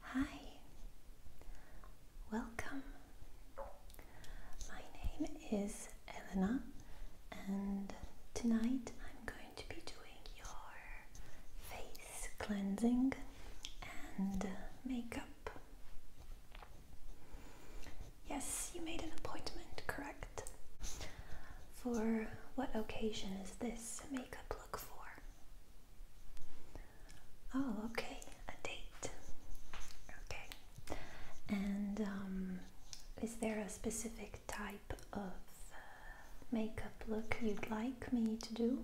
Hi, welcome. My name is Elena, and tonight I'm going to be doing your face cleansing and makeup. Yes, you made an appointment, correct? For what occasion is this makeup look for? Oh, okay, a date. Okay. And um, is there a specific type of uh, makeup look you'd like me to do?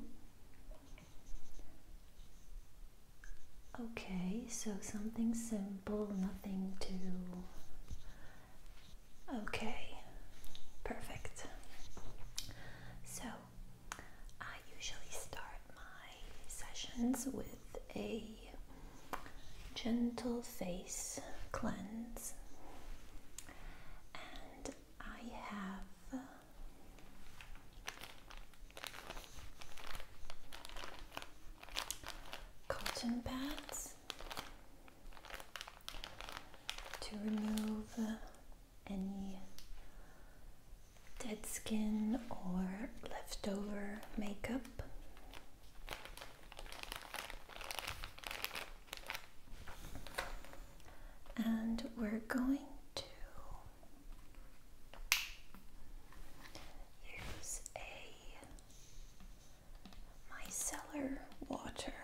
Okay, so something simple, nothing too. Okay, perfect. So, I usually start my sessions with a gentle face cleanse, and I have uh, cotton pads to remove any dead skin or leftover makeup. And we're going to use a micellar water.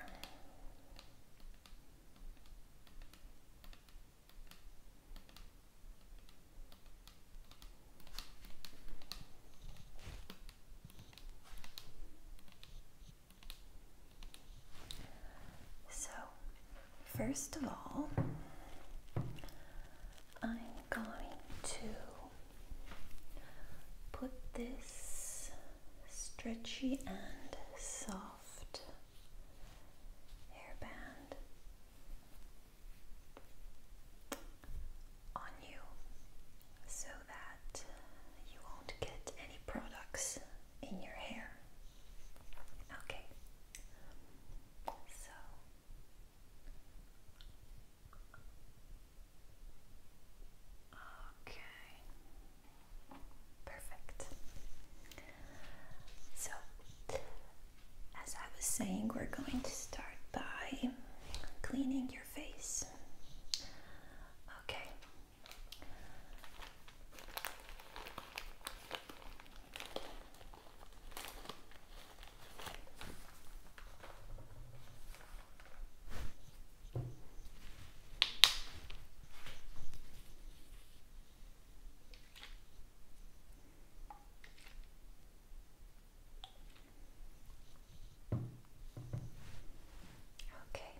So, first of all, I'm going to put this stretchy and soft hairband on you so that you won't get any products in your hair. Okay, so. Okay. Perfect. So, as I was saying, we're going to start by cleaning your face. Okay. Okay.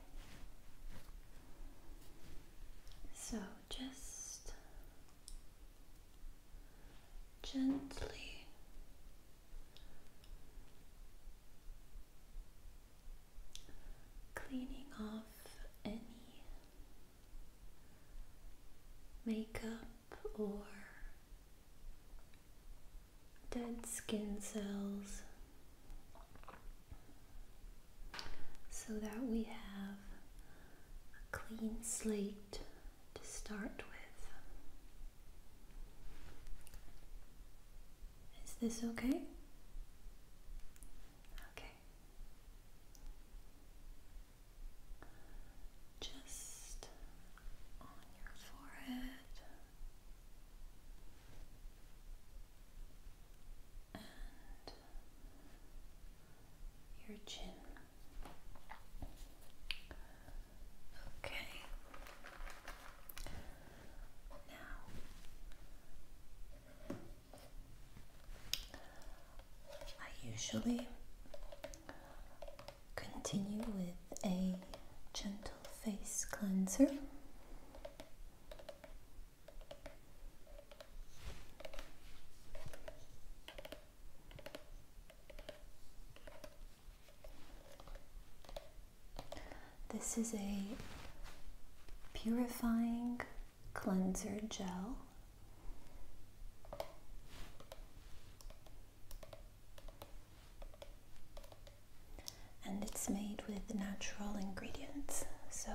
So just gently cleaning off any makeup or dead skin cells so that we have a clean slate to start with. Is this okay? Okay. Just on your forehead and your chin. Okay. I usually continue with a gentle face cleanser. This is a purifying cleanser gel. And it's made with natural ingredients, so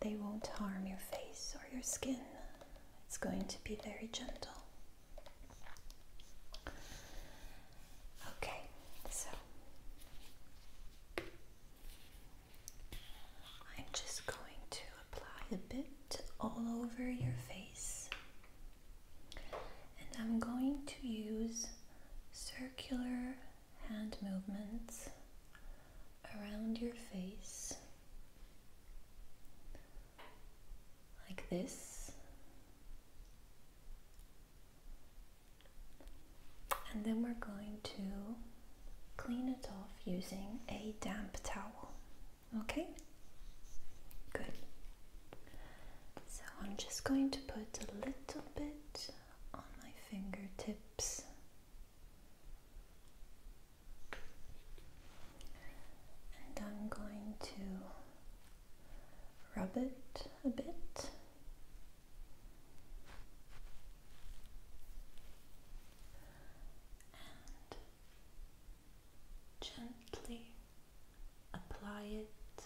they won't harm your face or your skin. It's going to be very gentle. Okay, so I'm just going to apply a bit all over your face, and I'm going to use circular hand movements around your face like this. And then we're going to clean it off using a damp towel. Okay? Good. So I'm just going to put a little bit on my fingertips. And I'm going to rub it a bit. And gently apply it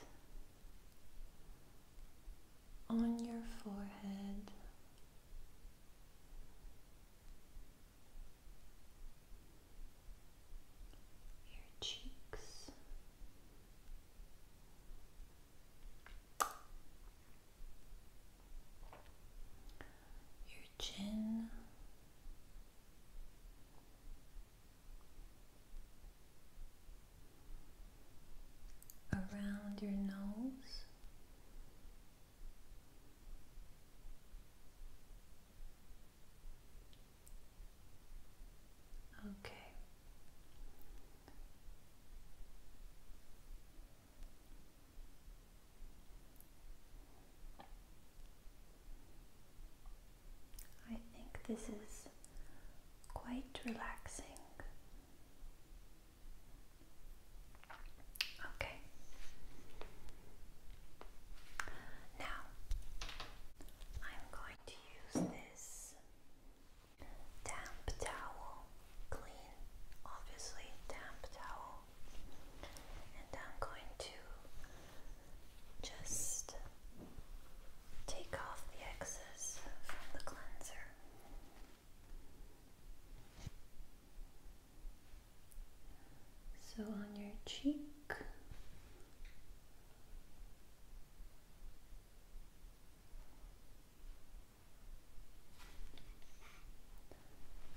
on your forehead your cheeks. Your chin, around your nose, Okay. I think this is quite relaxing. Okay, now, I'm going to use this damp towel, clean, obviously damp towel, and I'm going to just take off the excess from the cleanser. So on your cheek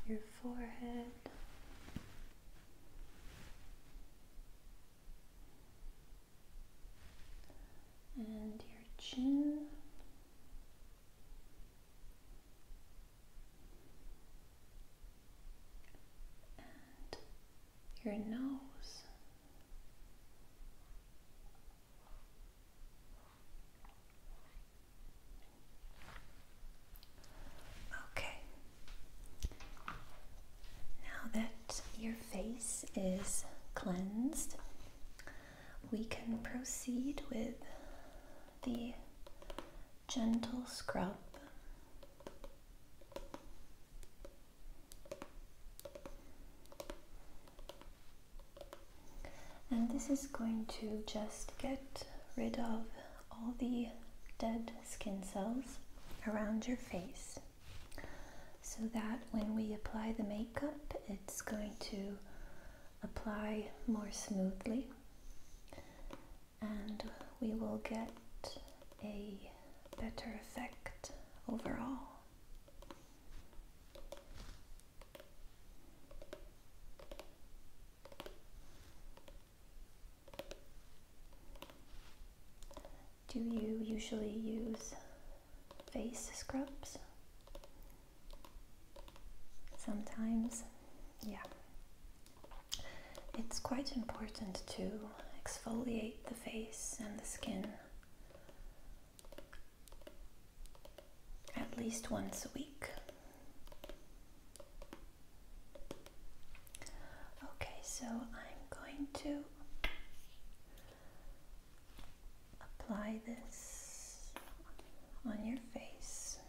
your forehead. And your chin your nose. Okay. Now that your face is cleansed, we can proceed with the gentle scrub. And this is going to just get rid of all the dead skin cells around your face so that when we apply the makeup it's going to apply more smoothly and we will get a better effect overall. Do you usually use face scrubs? Sometimes, yeah, it's quite important to exfoliate the face and the skin at least once a week. Okay, so I'm going to apply this on your face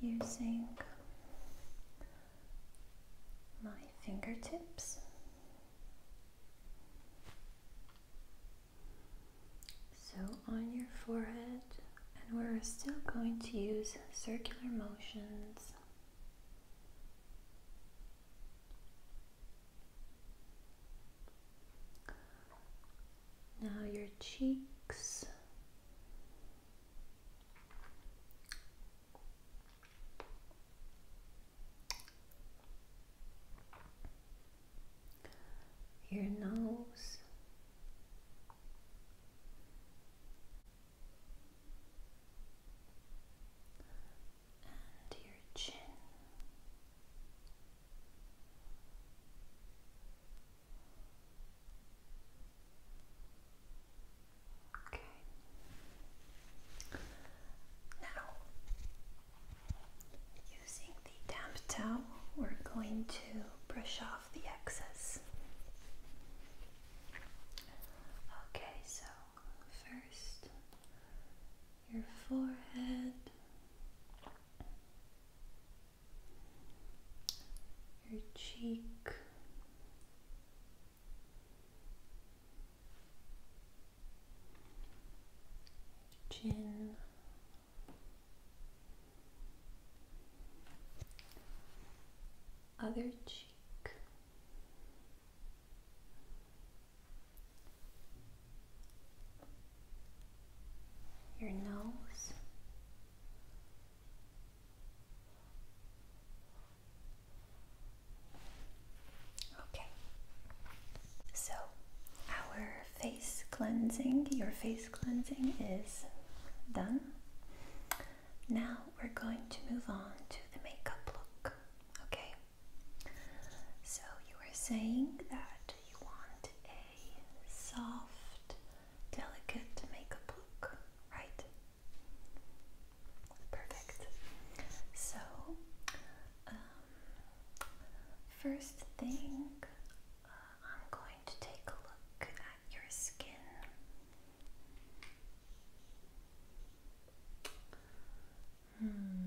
using my fingertips. So on your forehead, and we're still going to use circular motions. Now your cheeks your nose. And your chin, Okay. Now, using the damp towel, we're going to brush off the excess. Okay, so first your forehead your cheek. Chin, other cheek, your nose, Okay, so our face cleansing, your face cleansing is done. Now we're going to move on to the makeup look. Okay, so you were saying that you want a soft, delicate makeup look, right? Perfect. So, um, first thing, uh, I'm going to take a look at your skin. Hmm.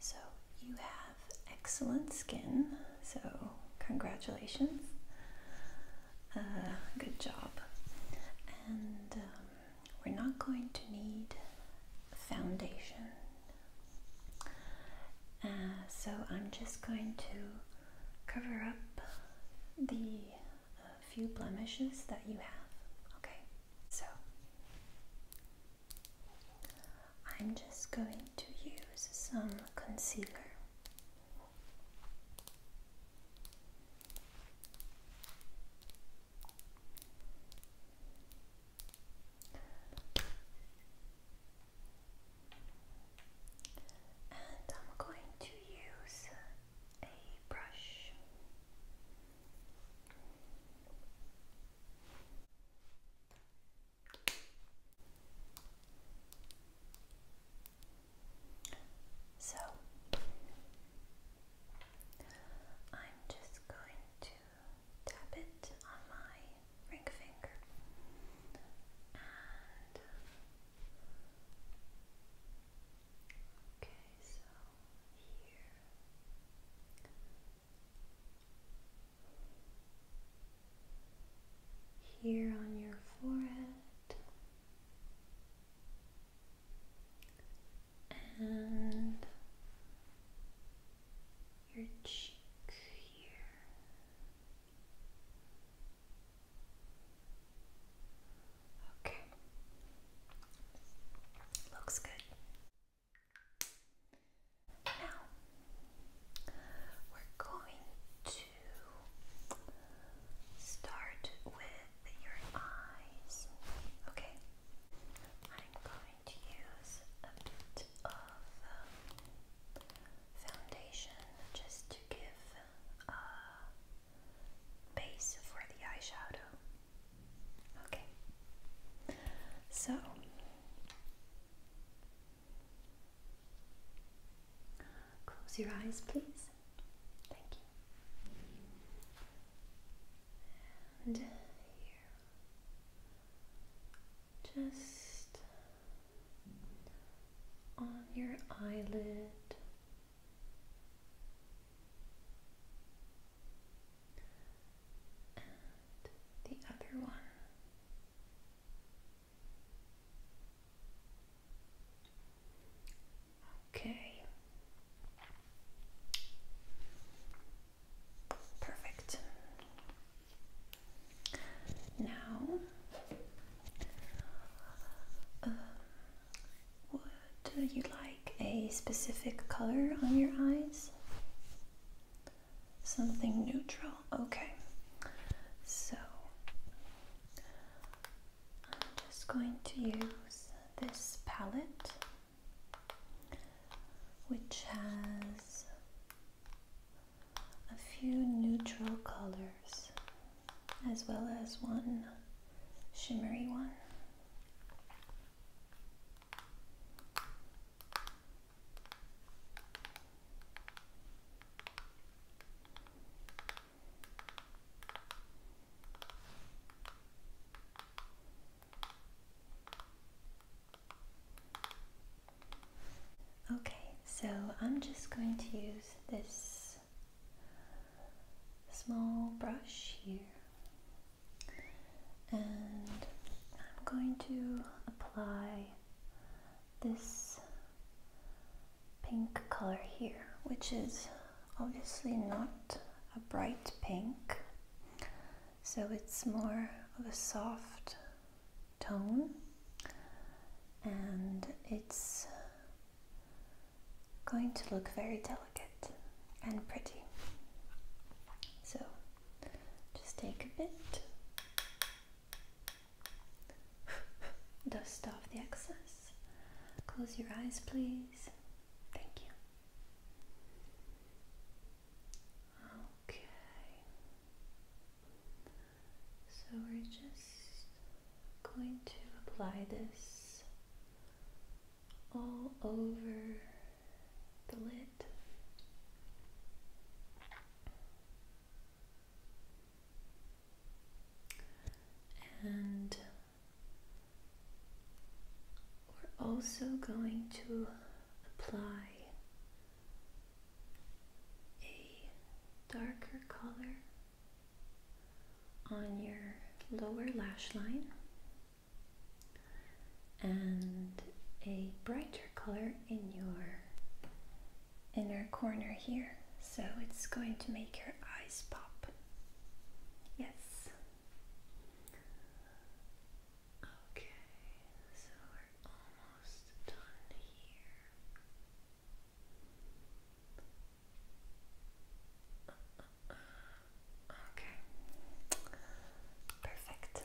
So you have excellent skin, so congratulations. Uh, good job. And um, we're not going to need foundation. Uh, so I'm just going to cover up the uh, few blemishes that you have. Okay, so I'm just going to use some concealer. And I'm going to use a brush. So I'm just going to tap it on my ring finger and Okay, so here here on your forehead and your cheek here. Okay. Looks good. Now we're going to start with your eyes. Okay, I'm going to use a bit of foundation just to give a base for the eyeshadow. Okay. So close your eyes, please. Thank you. And Just on your eyelid the other one. Okay. Perfect. Now, um, would you like a specific color on your eyes? Something neutral. Okay. So I'm just going to use this palette which has a few neutral colors as well as one shimmery one. Okay, so I'm just going to use this small brush here and I'm going to apply this pink color here which is obviously not a bright pink so it's more of a soft tone and it's going to look very delicate and pretty so just take a bit, dust off the excess. Close your eyes, please. Thank you. Okay. So we're just going to apply this all over the lid. And we're also going to apply a darker color on your lower lash line and a brighter color in your inner corner here so it's going to make your eyes pop yes okay so we're almost done here Okay. Perfect.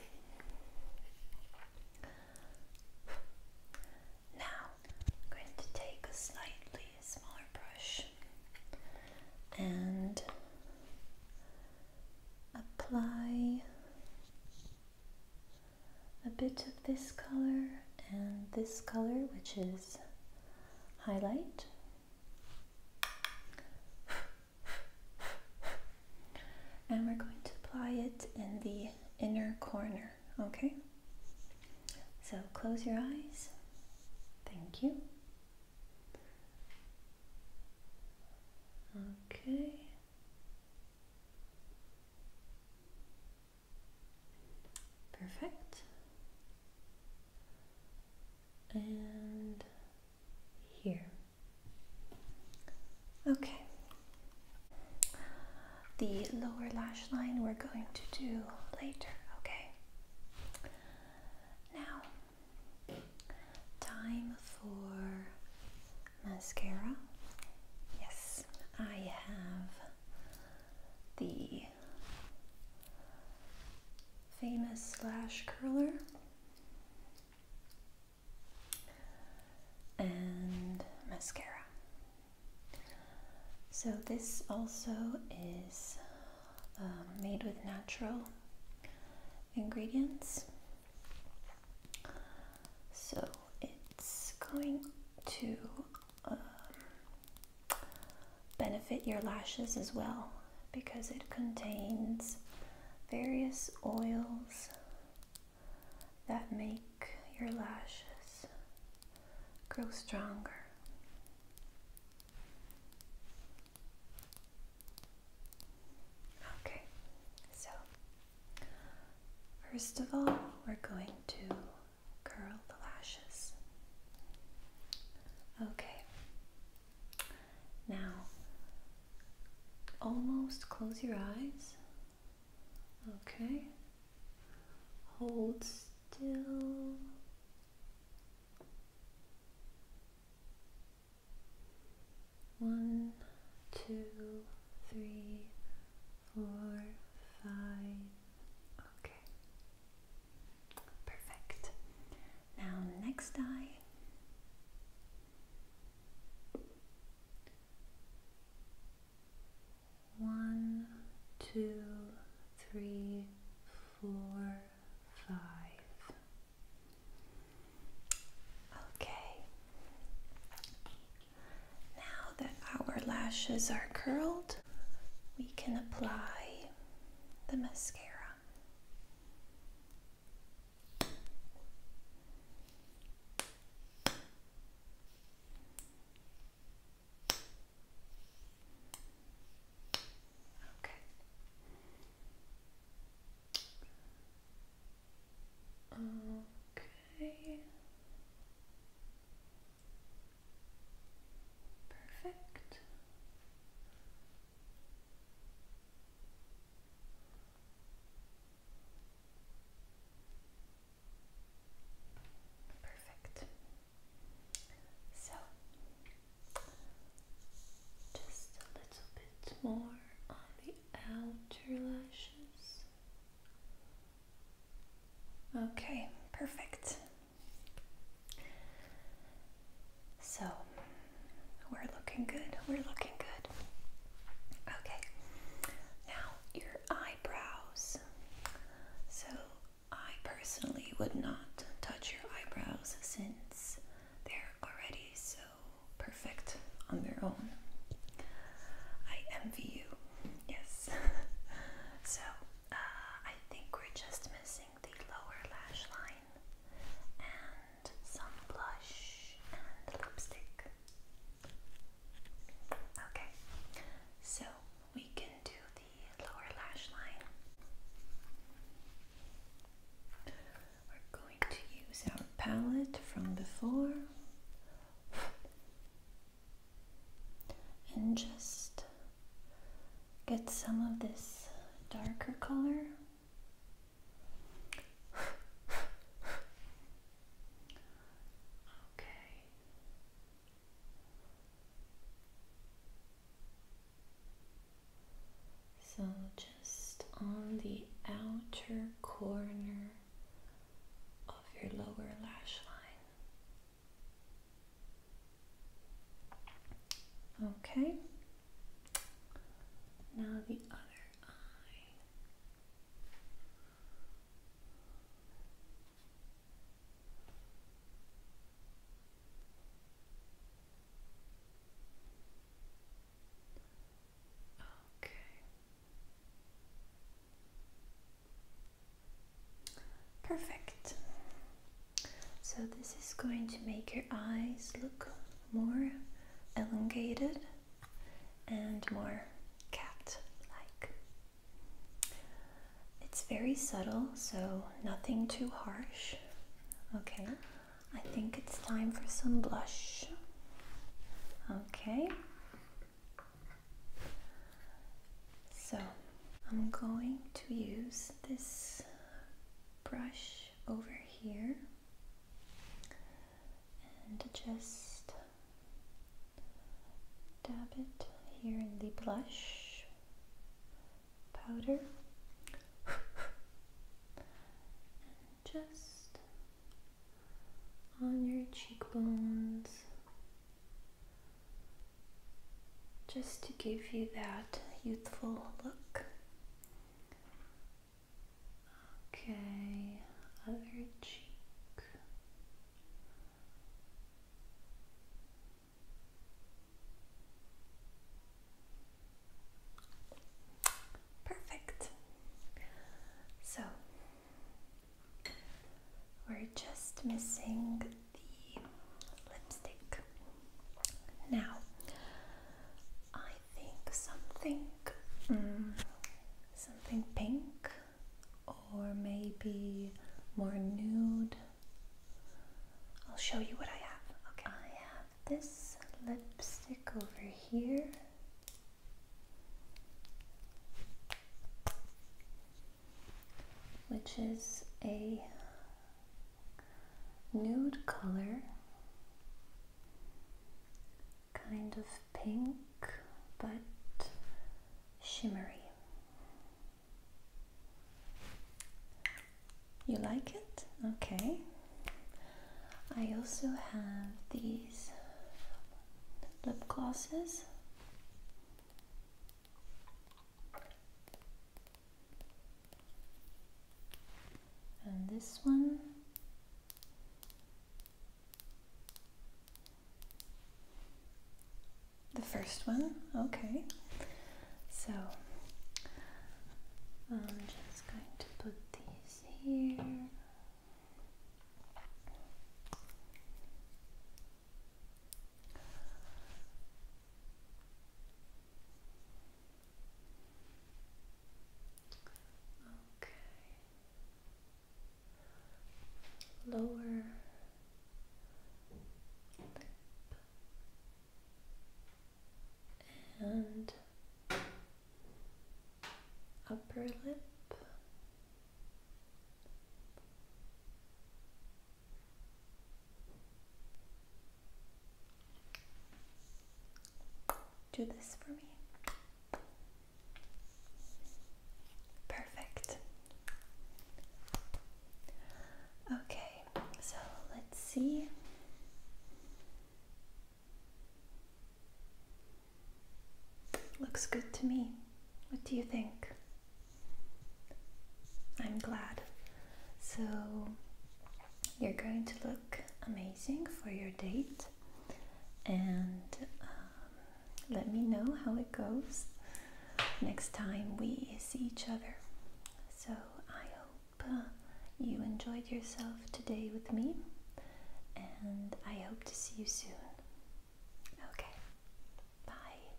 Now going to take a slightly smaller brush and apply a bit of this color and this color, which is highlight and we're going to apply it in the inner corner, okay? So close your eyes. Thank you. Okay. Perfect. And here. Okay. The lower lash line we're going to do later, okay? Now, time for mascara. Yes, I have the famous slash curler. And mascara. So this also is um, made with natural ingredients. So it's going to um, benefit your lashes as well because it contains various oils that make your lashes grow stronger. Okay, so first of all, we're going to curl the lashes. Okay, now, almost close your eyes. Okay. Hold still. One, two, three, four, five. Okay. Perfect. Now, next eye. One, two, three, four, five. Okay. Now that our lashes are curled, we can apply the mascara. Okay. Okay. Perfect. Perfect. So, just a little bit more on the outer lashes. Okay, perfect. So we're looking good. We're looking good. Okay. Now your eyebrows. So I personally would not touch your eyebrows since they're already so perfect on their own. I envy you. Yes. so uh, I think we're just missing the lower lash line and some blush and lipstick. Okay, so we can do the lower lash line. We're going to use our palette from before and just get some of this darker color. okay. So just on the outer corner of your lower lash line. Okay. Now the other eye. Okay. Perfect. So this is going to make your eyes look more elongated and more cat-like. It's very subtle, so nothing too harsh. Okay, I think it's time for some blush. Okay. So I'm going to use this brush over here and just dab it here in the blush powder and just on your cheekbones just to give you that youthful look. Okay, other cheek. Perfect. So we're just missing the lipstick. Now, I think something, mm, something pink, or maybe more nude. I'll show you what I have. Okay, I have this lipstick over here. Which is a nude color, kind of pink but shimmery. You like it? Okay. I also have these lip glosses and this one the first one okay so I'm just going to put these here Okay. Lower And upper lip do this for me. Perfect. Okay, so let's see. Looks good to me. What do you think? I'm glad. So, you're going to look amazing for your date, and um, let me know how it goes next time we see each other. So, I hope uh, you enjoyed yourself today with me, and I hope to see you soon. Okay, bye.